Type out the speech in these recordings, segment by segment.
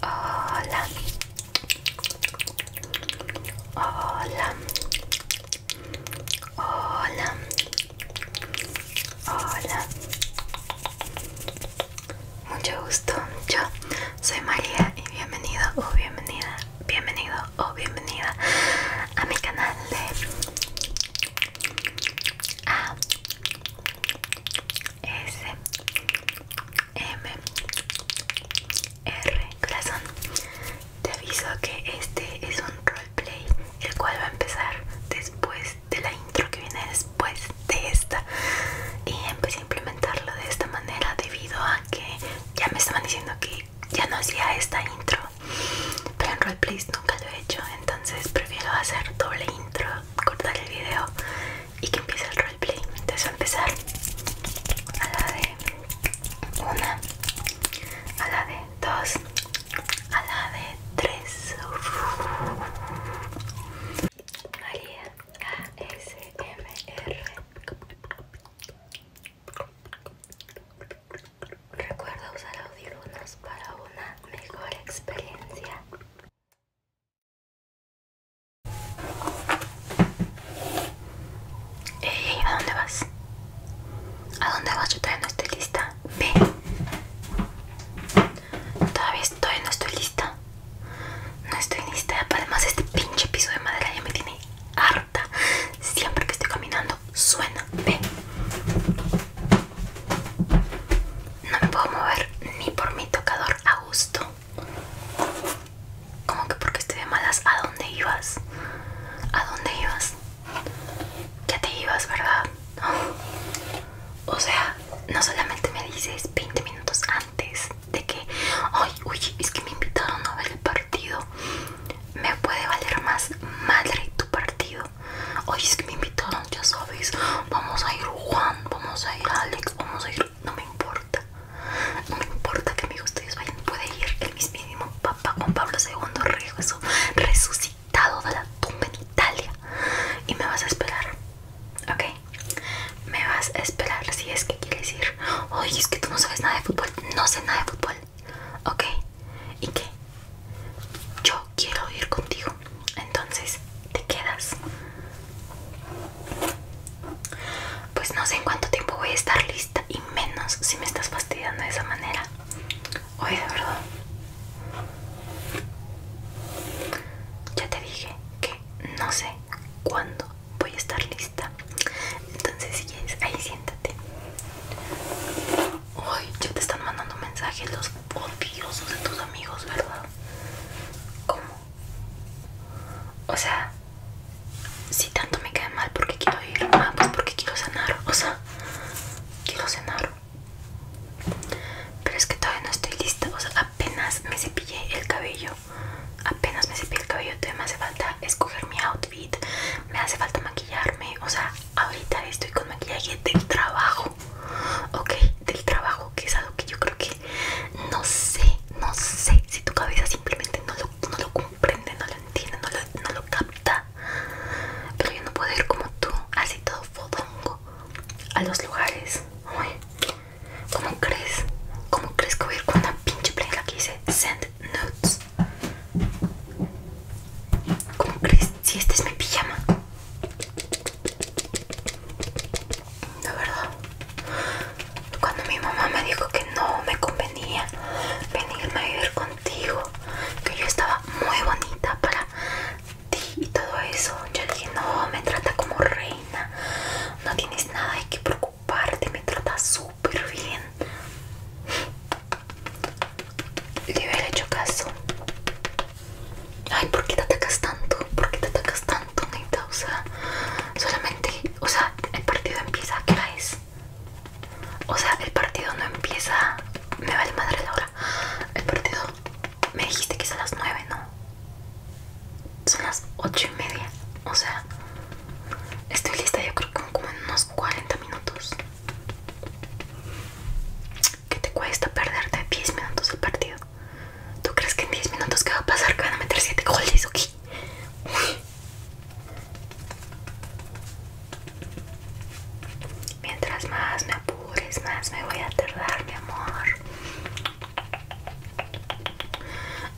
Hola. Hola. Hola. Hola. Mucho gusto. Yo soy María y bienvenido o bienvenida. Bienvenido o bienvenida a mi canal de S M R corazón te aviso que este es un roleplay el cual va a empezar después de la intro que viene después de esta y empecé a implementarlo de esta manera debido a que ya me estaban diciendo que ya no hacía esta intro pero en roleplays nunca lo he hecho entonces prefiero hacer doble intro, cortar el video y que empiece el roleplay. Entonces a empezar a la de una, a la de dos, a la de tres. María ASMR. Recuerda usar audífonos para una mejor experiencia. Ey, ¿a dónde vas? ¿A dónde vas? Yo todavía no estoy lista. Ve. Todavía estoy, no estoy lista. No estoy lista. Además, este pinche piso de madera ya me tiene harta. Siempre que estoy caminando, suena. Ve. No me puedo mover ni por mi tocador a gusto. Como que porque estoy de malas, ¿a dónde ibas? ¿A dónde ibas? Ya te ibas, ¿verdad? O sea, no solamente me dices 20 minutos antes de que, ay, uy, es que me invitaron a ver el partido. Me puede valer más madre tu partido Oye, es que me invitaron, ya sabes. Vamos a ir Juan, vamos a ir Alex, vamos a ir. No me importa. No me importa que amigos ustedes vayan. Puede ir el mismísimo Papa Juan Pablo II resucitado de la tumba en Italia. Y me vas a esperar. ¿Ok? Me vas a esperar si es que quieres ir. Oye, es que tú no sabes nada de fútbol. No sé nada de fútbol. ¿Ok? ¿Y que Yo quiero ir contigo. Entonces, ¿te quedas? Pues no sé en cuánto tiempo voy a estar lista y menos si me estás fastidiando de esa manera. Oye, de verdad. Ya te dije que no sé cuándo voy a estar lista. Entonces, si quieres, ahí siéntate. Hoy ya te están mandando mensajes los odiosos de tus amigos, ¿verdad? ¿Cómo? O sea, si tanto me cae mal, porque quiero ir? Ah, pues porque quiero cenar. O sea, quiero cenar. Pero es que todavía no estoy lista. O sea, apenas me cepillé el cabello. Apenas me cepillé el cabello. Todavía me hace falta escoger mi outfit. Me hace falta maquillarme. O sea, ahorita estoy con maquillaje del trabajo ok, del trabajo, que es algo que yo creo que no sé, no sé si tu cabeza simplemente no lo, comprende, no lo entiende, no lo, capta. Pero yo no puedo ir como tú, así todo fodongo, a los lugares. ¿Cómo crees? ¿Cómo crees que voy a ir con una pinche playera que dice Send Notes? ¿Cómo crees? si este es mi pijama. La verdad. Cuando mi mamá me dijo que no me convenía venirme a vivir contigo, que yo estaba muy bonita para ti y todo eso, yo dije, no, me trata como reina, no tienes nada de que preocuparte, me trata súper bien le hubiera hecho caso. Ay, ¿por qué te atacas tanto? ¿Por qué te atacas tanto, neta? O sea, solamente, o sea, el partido empieza qué hora es. O sea, el partido no empieza. Me vale madre la hora. El partido me dijiste que es a las 9, ¿no? Son las 8 y media. O sea, estoy lista yo creo que como en unos 40 minutos. ¿Qué te cuesta perderte 10 minutos al partido? ¿Tú crees que en 10 minutos qué va a pasar? ¿Que van a meter 7 goles o qué? Mientras más me apures, más me voy a tardar, mi amor.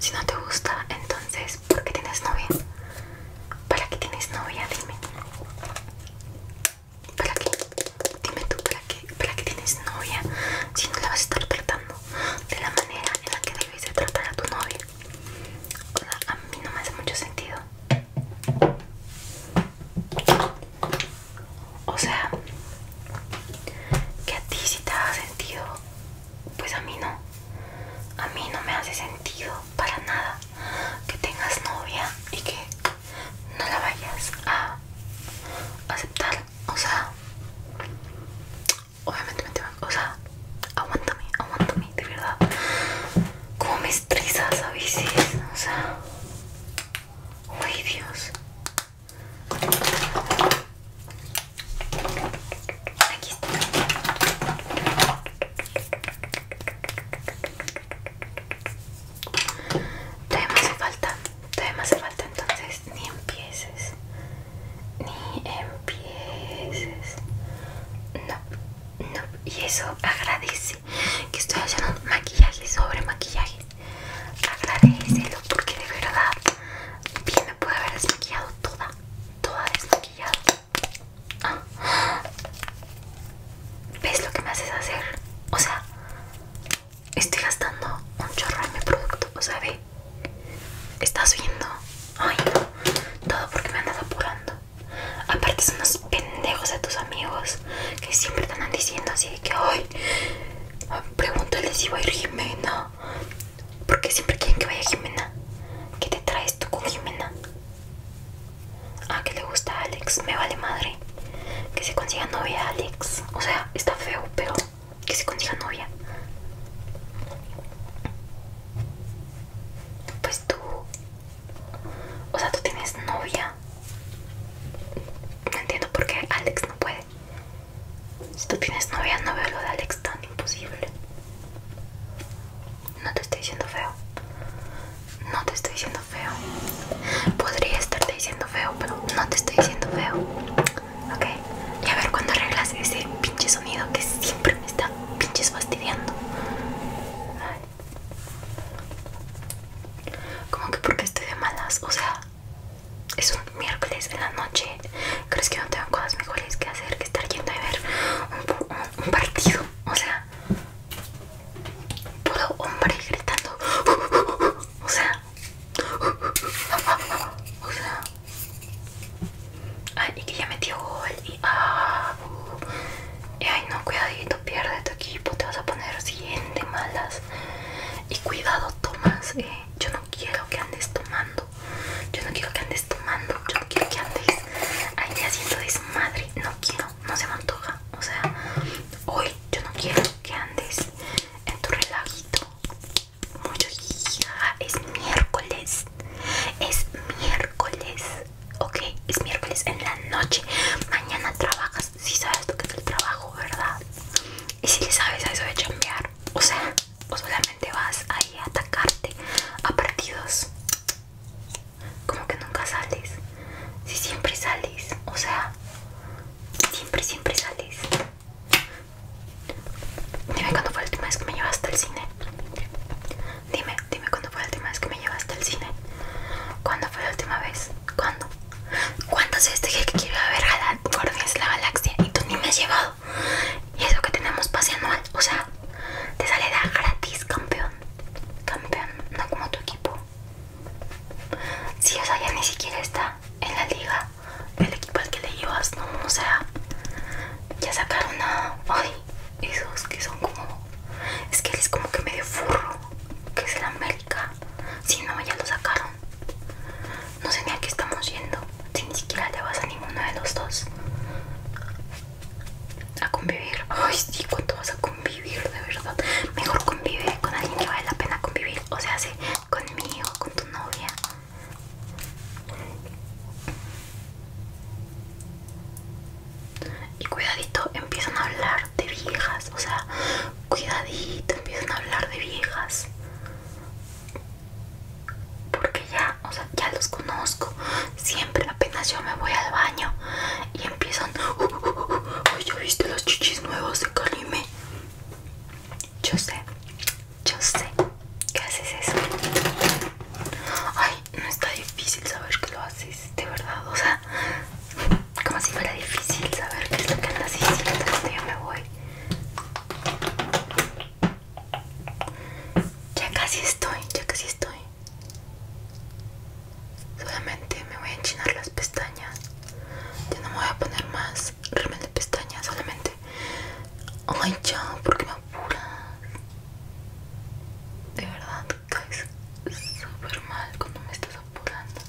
Si no te gusta, entonces, ¿por qué tienes novia? ¿Para qué tienes novia? Dime. ¿Para qué? Dime tú, ¿para qué? ¿Para tienes novia si no la vas a estar tratando de la manera en la que debes de tratar a tu novia? O a mí no me hace mucho sentido. O sea, que a ti sí te haga sentido, pues a mí no. A mí no me hace sentido para nada que tengas novia y que no la vayas a aceptar. O sea, obviamente me van, o sea, aguántame, aguántame, de verdad. Como me estresas a veces, o sea, uy, Dios. Aquí está. Todavía me hace falta, todavía me hace falta, entonces ni empieces, ni empieces. No, no, y eso agradece que estoy haciendo maquillaje sobre maquillaje. Agradecelo porque de verdad bien me puede haber desmaquillado toda, toda desmaquillada. Ah. ¿Ves lo que me haces hacer? O sea, estoy gastando un chorro en mi producto, o sea, ve. ¿Estás viendo? Ay, Todo porque me andas apurando. Aparte son unos pendejos de tus amigos que siempre te andan diciendo así que ay, pregúntale si va a ir Jimena. Porque siempre quieren que vaya Jimena. ¿Qué te traes tú con Jimena? Ah, que le gusta a Alex. Me vale madre. Que se consiga novia, Alex. O sea, está feo, pero que se consiga novia. Pues tú. O sea, tú tienes novia. No entiendo por qué Alex no puede. Si tú tienes novia, no veo lo de Alex tan imposible. No te estoy diciendo feo no te estoy diciendo feo. Podría estarte diciendo feo, pero no te estoy diciendo feo. Ok. Y a ver cuando arreglas ese pinche sonido que siempre me está pinches fastidiando. Como que porque estoy de malas, o sea, es un miércoles en la noche. ¿Crees que no tengo cosas mejores que hacer que estar yendo a ver un partido? O sea, puro hombre gritando. O sea, o sea, ay, y que ya metió gol. Y, ah, ay, no, cuidadito, pierde tu equipo, pues te vas a poner siguiente malas. Y cuidado, Tomás eh, yo no quiero que andes tomando. Yo no quiero que andes tomando. Yo no quiero que andes ahí haciendo desmadre. No quiero, no se mantoja o sea hoy yo no quiero que andes en tu relajito mucho ah, es miércoles es miércoles ok es miércoles en la noche mañana trabajas si sabes tú que es el trabajo verdad y si le sabes a eso de chambear o sea o solamente vas ahí a atacarte a partidos como que nunca sales. Si siempre sales, o sea, siempre, siempre sales. Dime cuándo fue la última vez que me llevaste al cine. Dime, dime cuándo fue la última vez que me llevaste al cine. ¿Cuándo fue la última vez? ¿Cuándo? ¿Cuántas veces dije que quiero ir a ver Guardianes de la Galaxia y tú ni me has llevado? Y es lo que tenemos pase anual, o sea, te sale da gratis, campeón. Campeón, no como tu equipo. Si sí, ya ni siquiera está en la liga el equipo al que le llevas, no, o sea, ya sacaron a hoy esos que son como, es que les es como que medio furro, que es el América, si no, ya lo sacaron, no sé ni a qué estamos yendo, si ni siquiera llevas vas a ninguno de los dos, a convivir. Ay, sí, ¿cuánto vas a convivir? De verdad, mejor convive con alguien que vale la pena convivir. O sea, sí, conmigo, con tu novia. Y cuidadito, empiezan a hablar de viejas. O sea, cuidadito, empiezan a hablar de viejas. Porque ya, o sea, ya los conozco siempre apenas yo me voy al baño y empiezan "Uy, uh, uh, uh, uh ya viste los chichis nuevos de Kalime yo sé yo sé que haces eso ay no está difícil saber que lo haces de verdad o sea como si fuera difícil saber qué es lo que andas yo me voy ya casi estoy, ya casi estoy. Solamente me voy a enchinar las pestañas. Ya no me voy a poner más Remel de pestañas, solamente. Ay, ya, qué me apuras. De verdad, caes súper mal cuando me estás apurando.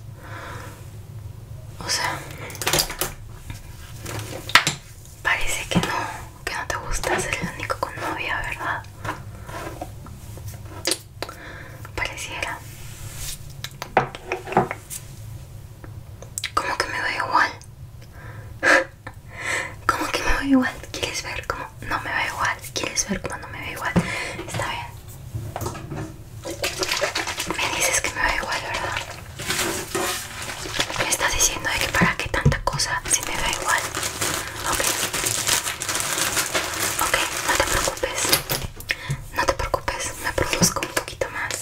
O sea, parece que no, que no te gusta ser el único con novia, ¿verdad? pareciera como que me va igual como que me veo igual quieres ver cómo no me va igual quieres ver cómo no me veo igual está bien me dices que me veo igual verdad me estás diciendo de que para qué tanta cosa si me da igual Ok. Ok, no te preocupes. No te preocupes, me produzco un poquito más.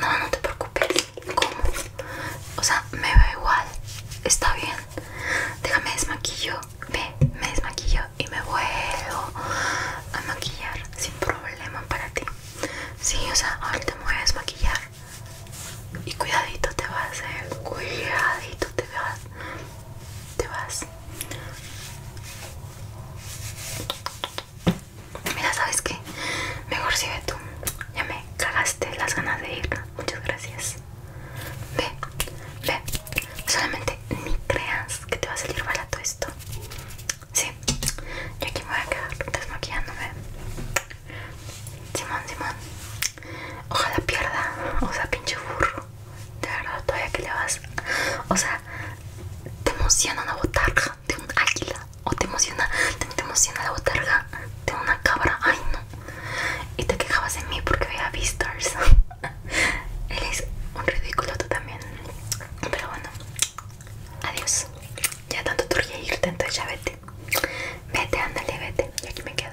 No, no te preocupes. ¿Cómo? O sea, me veo igual. Está bien. Déjame desmaquillo. Ve, me desmaquillo y me vuelvo a maquillar sin problema para ti. Sí, o sea, ahorita me voy a desmaquillar. Y cuidadito te a hacer Cuidadito te vas te vas. Mira, ¿sabes qué? Mejor si ve tú. Ya me cagaste las ganas de ir. Muchas gracias. Ve, ve. Solamente ni creas que te va a salir barato esto. Sí, yo aquí me voy a quedar desmaquillándome. Simón, Simón. Ojalá pierda, o sea, pinche burro. De verdad, todavía que le vas. O sea, te emociona una botarga de un águila. O te emociona, te, emociona la botarga de una cabra. Ay, no. Y te quejabas de mí porque veía Beastars. Eres un ridículo tú también. Pero bueno, adiós. Ya tanto ríe irte, entonces ya vete. Vete, ándale, vete. Y aquí me quedo.